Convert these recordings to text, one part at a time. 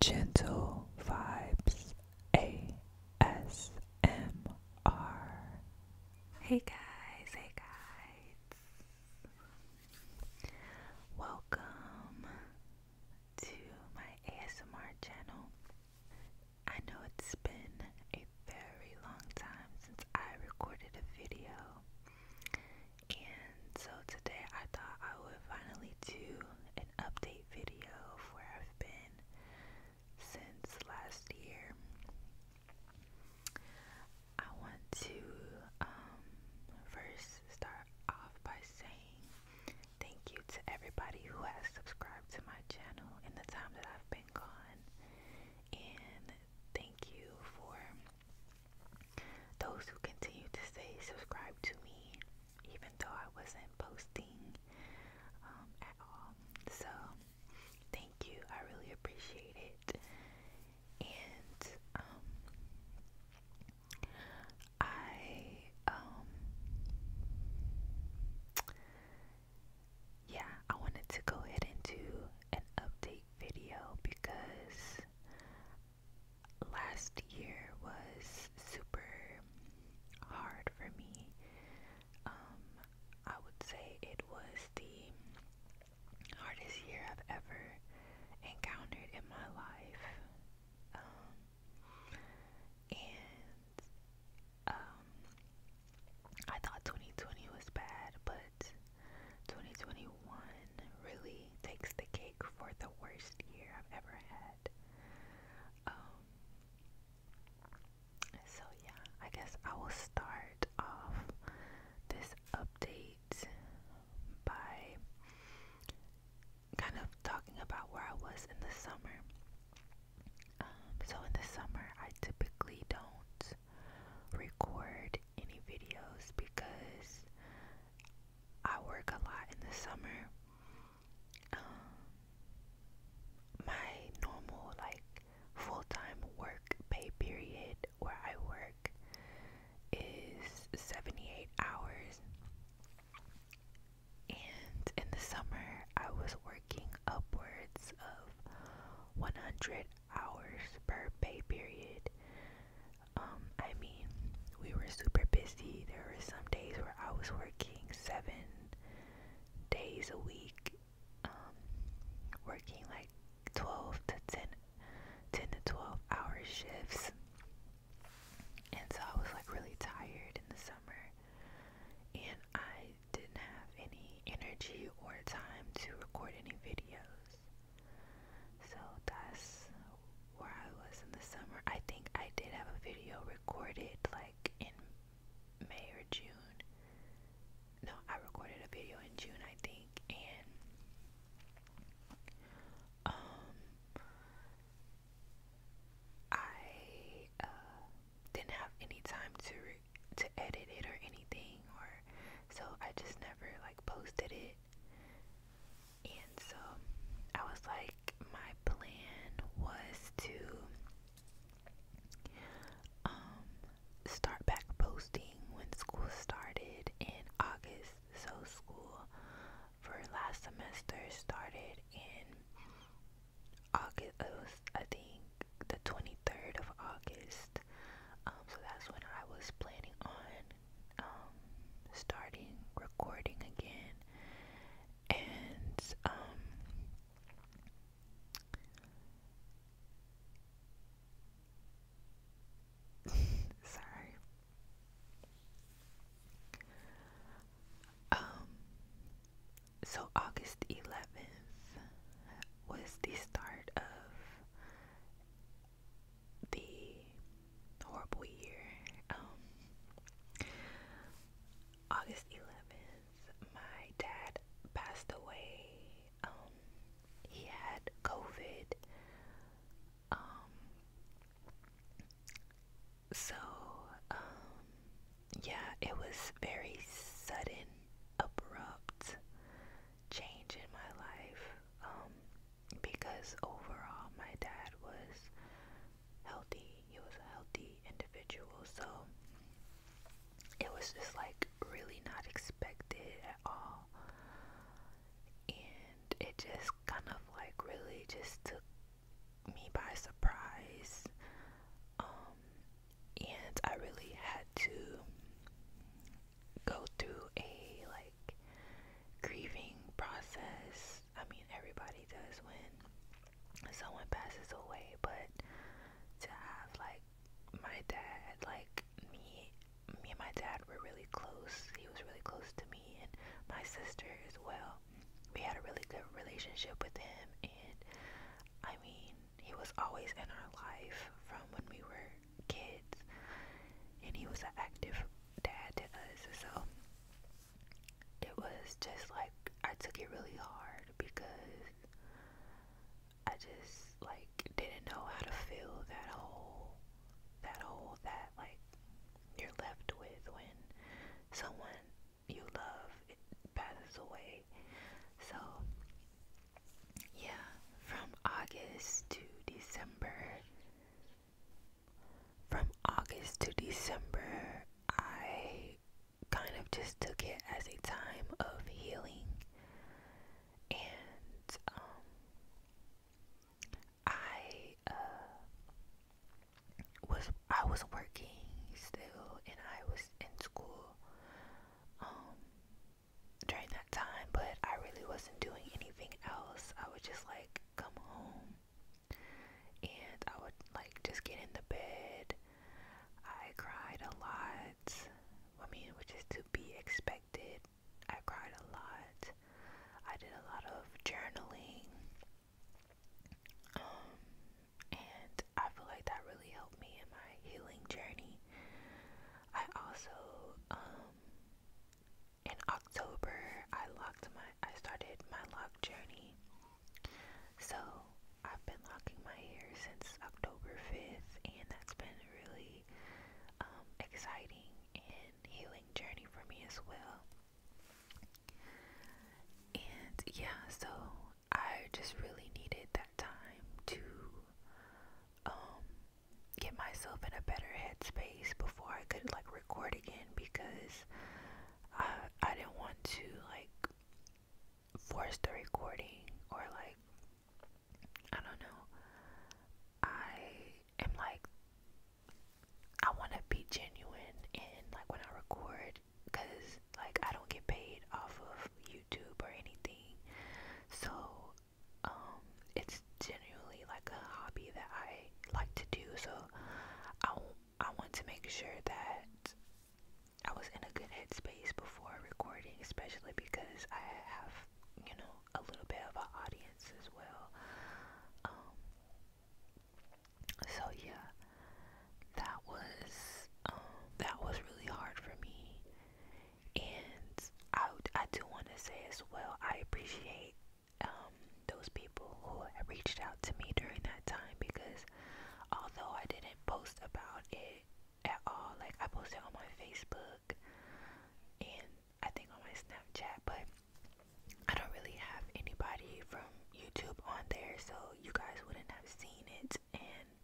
Gentle Vibes ASMR. Hey guys, hey guys. Welcome to my ASMR channel. I know it's been a very long time since I recorded a video, and so today I thought I would finally do an update video of where I've been since last year. I want to um, first start off by saying thank you to everybody who has subscribed to my channel in the time that I've been gone. And thank you for those who continue to stay subscribed to me, even though I wasn't posting um, at all. So, thank you. I really appreciate it. And um, I, um, yeah, I wanted to go ahead and do an update video because last year was super hard for me. Um, I would say it was the hardest year I've ever encountered in my life. Um, and um, I thought 2020 was bad, but 2021 really takes the cake for the worst year I've ever had. Um, so, yeah, I guess I will start off this update by kind of talking about where I was in the summer. Um, so, in the summer, I typically don't record any videos because I work a lot in the summer. Um, my normal, like, full time work pay period where I work is 78 hours. And in the summer, I was working upwards of 100 hours per pay period. Um, I mean, we were super busy. There were some days where I was working seven days a week, um, working like 12 to 10, 10 to 12 hour shifts. And so I was like really tired in the summer, and I didn't have any energy or time to record any videos. So that's where I was in the summer. I think I did have a video recorded like in May or June. No, I recorded a video in June, I think, and um I uh, didn't have any time to to edit it or anything or so I just never like posted it. And so I was like, my plan was to um, start back posting when school started in August. So school for last semester started in August. It I think the 23rd of August um, so that's when I was planning on um, starting recording again. And um, sorry. Um, so August 11th was the start of the horrible year. Um, August 11th, my dad passed away. Um, he had COVID. Um, so, yeah, it was very sudden, abrupt, change in my life um, because overall my dad was healthy. He was a healthy individual, so it was just like really not expected at all. And it just kind of like really just took me by surprise. Um, and I really had to go through a like grieving process. I mean, everybody does when someone passes away, but to have like my dad, like me, me and my dad were really close. He was really close to me and my sister as well. We had a really good relationship with him, and I mean, he was always in our life from when we were kids, and he was an active dad to us. So it was just like I took it really hard because I just like didn't know how to fill that hole, that hole that like you're left with when someone you love it passes away. So yeah, from August to December from August to December I kind of just took it as a time of healing and um I uh was I was working still and I was in school um, during that time, but I really wasn't doing anything else. I would just like come home and I would like just get in the bed. I cried a lot. I mean, which is to be expected. I cried a lot. I did a lot of journaling. Um, and I feel like that really helped me in my healing journey. I also, um, in October, I locked my, I started my lock journey. So I've been locking my hair since October 5th, and that's been really um, exciting and healing journey for me as well. And yeah, so I just really needed that time to um get myself in a better headspace before I could like record again because I I didn't want to like force the recording or like I don't know. I am like I want to be genuine and like when I record because like I don't get paid off of YouTube or anything. So um, it's genuinely like a hobby that I like to do. So I, I want to make sure that I was in a good headspace before recording, especially because I have, you know, a little bit of an audience as well. Um, so yeah, that was um, that was really hard for me, and I I do want to say as well I appreciate um, those people who reached out to me during that time because although I didn't post about it at all, like I posted on my Facebook and I think on my Snapchat, but I don't really have anybody from YouTube on there, so you guys wouldn't have seen it. And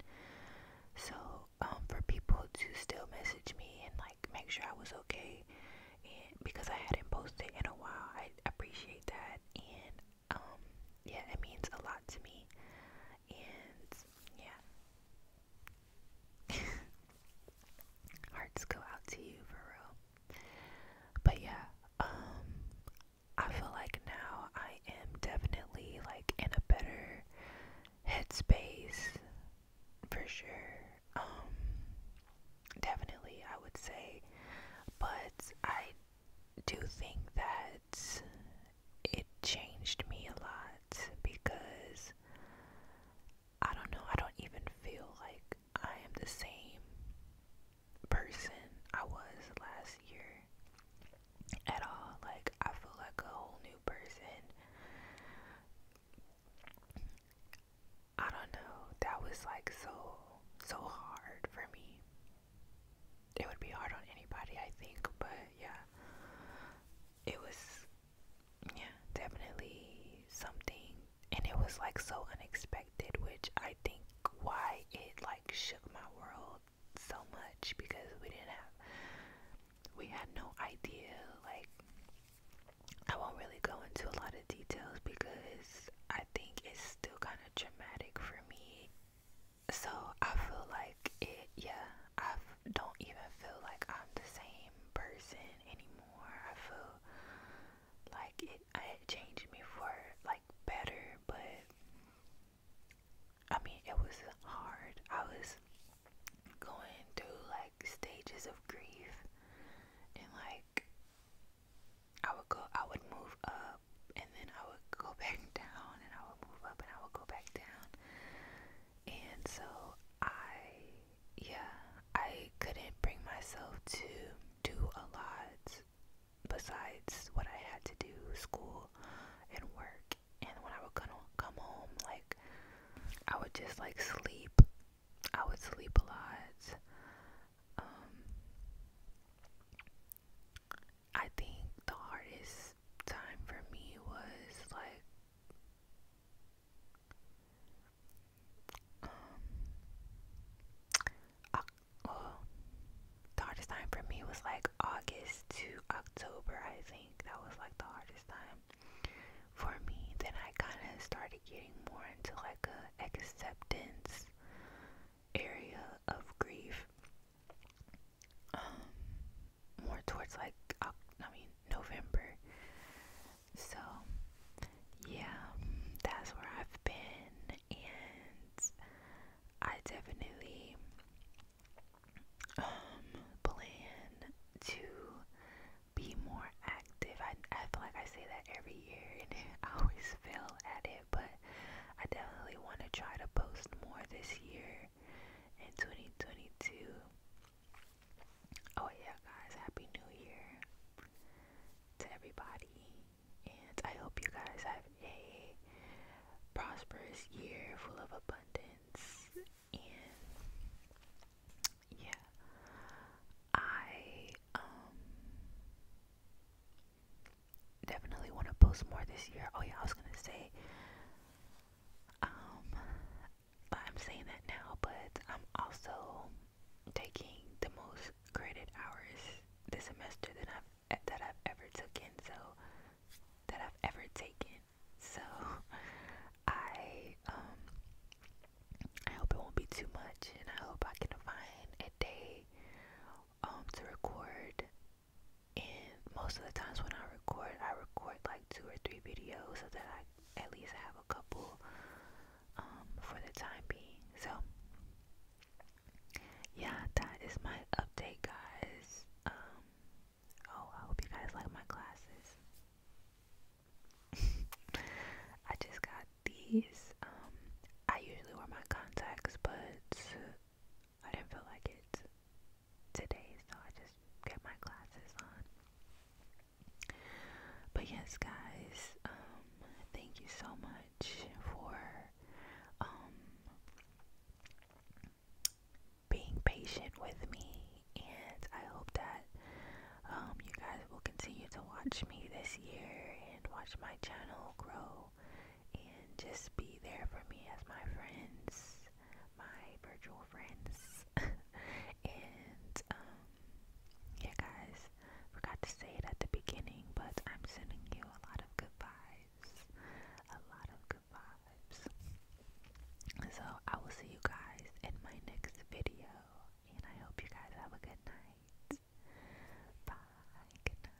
so, um, for people to still message me and like make sure I was okay, and because I hadn't posted in a while, I appreciate that. And um, yeah, it means a lot to me. And yeah, hearts go out to you for real. But yeah, um, I feel like now I am definitely like in a better headspace for sure. Um, definitely, I would say, but I do think that it changed me a lot because I don't know, I don't even feel like I am the same person I was last year at all. Like, I feel like a whole new person. I don't know. That was like so, so hard for me. It would be hard on anybody, I think, but yeah. It was, yeah, definitely something and it was like so unexpected, which I think why it like shook my world so much because we didn't have we had no idea like I won't really go into a lot of details because I think it's still kind of dramatic for me. So I feel like it, yeah, I don't even feel like I'm the same person anymore. I feel like it, it changed me for like better, but I mean it was hard. I was going through like stages of grief, and like I would go, I would move up, and then I would go back down, and I would move up, and I would go back down, and so I yeah, I couldn't bring myself to do a lot besides what I had to do school and work. And when I would come come home, like I would just like sleep. I would sleep a lot. Um, I think the hardest time for me was like um, the hardest time for me was like August to October, I think. That was like the hardest time for me. Then I kind of started getting more into like a acceptance area of grief. Um, more towards like, I mean, November. So, yeah, that's where I've been, and I definitely um, plan to be more active. I, I feel like I say that every year, and I always fail at it, but I definitely want to try to post more this year in 2022. Oh, yeah, guys, Happy New Year to everybody. And I hope you guys have a prosperous year full of abundance. And yeah, I um, definitely want to post more this year. Oh, yeah, I was going to say. Um, I'm saying that now, but I'm also taking the most graded hours this semester that I've that I've ever taken. So that I've ever taken. So I um I hope it won't be too much, and I hope I can find a day um to record. And most of the times when I record, I record like two or three videos so that I at least have a couple um for the time being. So yeah, that is my update guys. Um, oh I hope you guys like my glasses. I just got these. Um, I usually wear my contacts but I didn't feel like it today, so I just get my glasses on. But yes, guys, um, thank you so much for um being patient with me, and I hope that um you guys will continue to watch me this year and watch my channel grow and just be there for me as my friends my virtual friends. and um, yeah guys, forgot to say it at the beginning, but I'm sending you a lot of good vibes. A lot of good vibes. So I will see you guys in my next video and I hope you guys have a good night. Bye. Good night.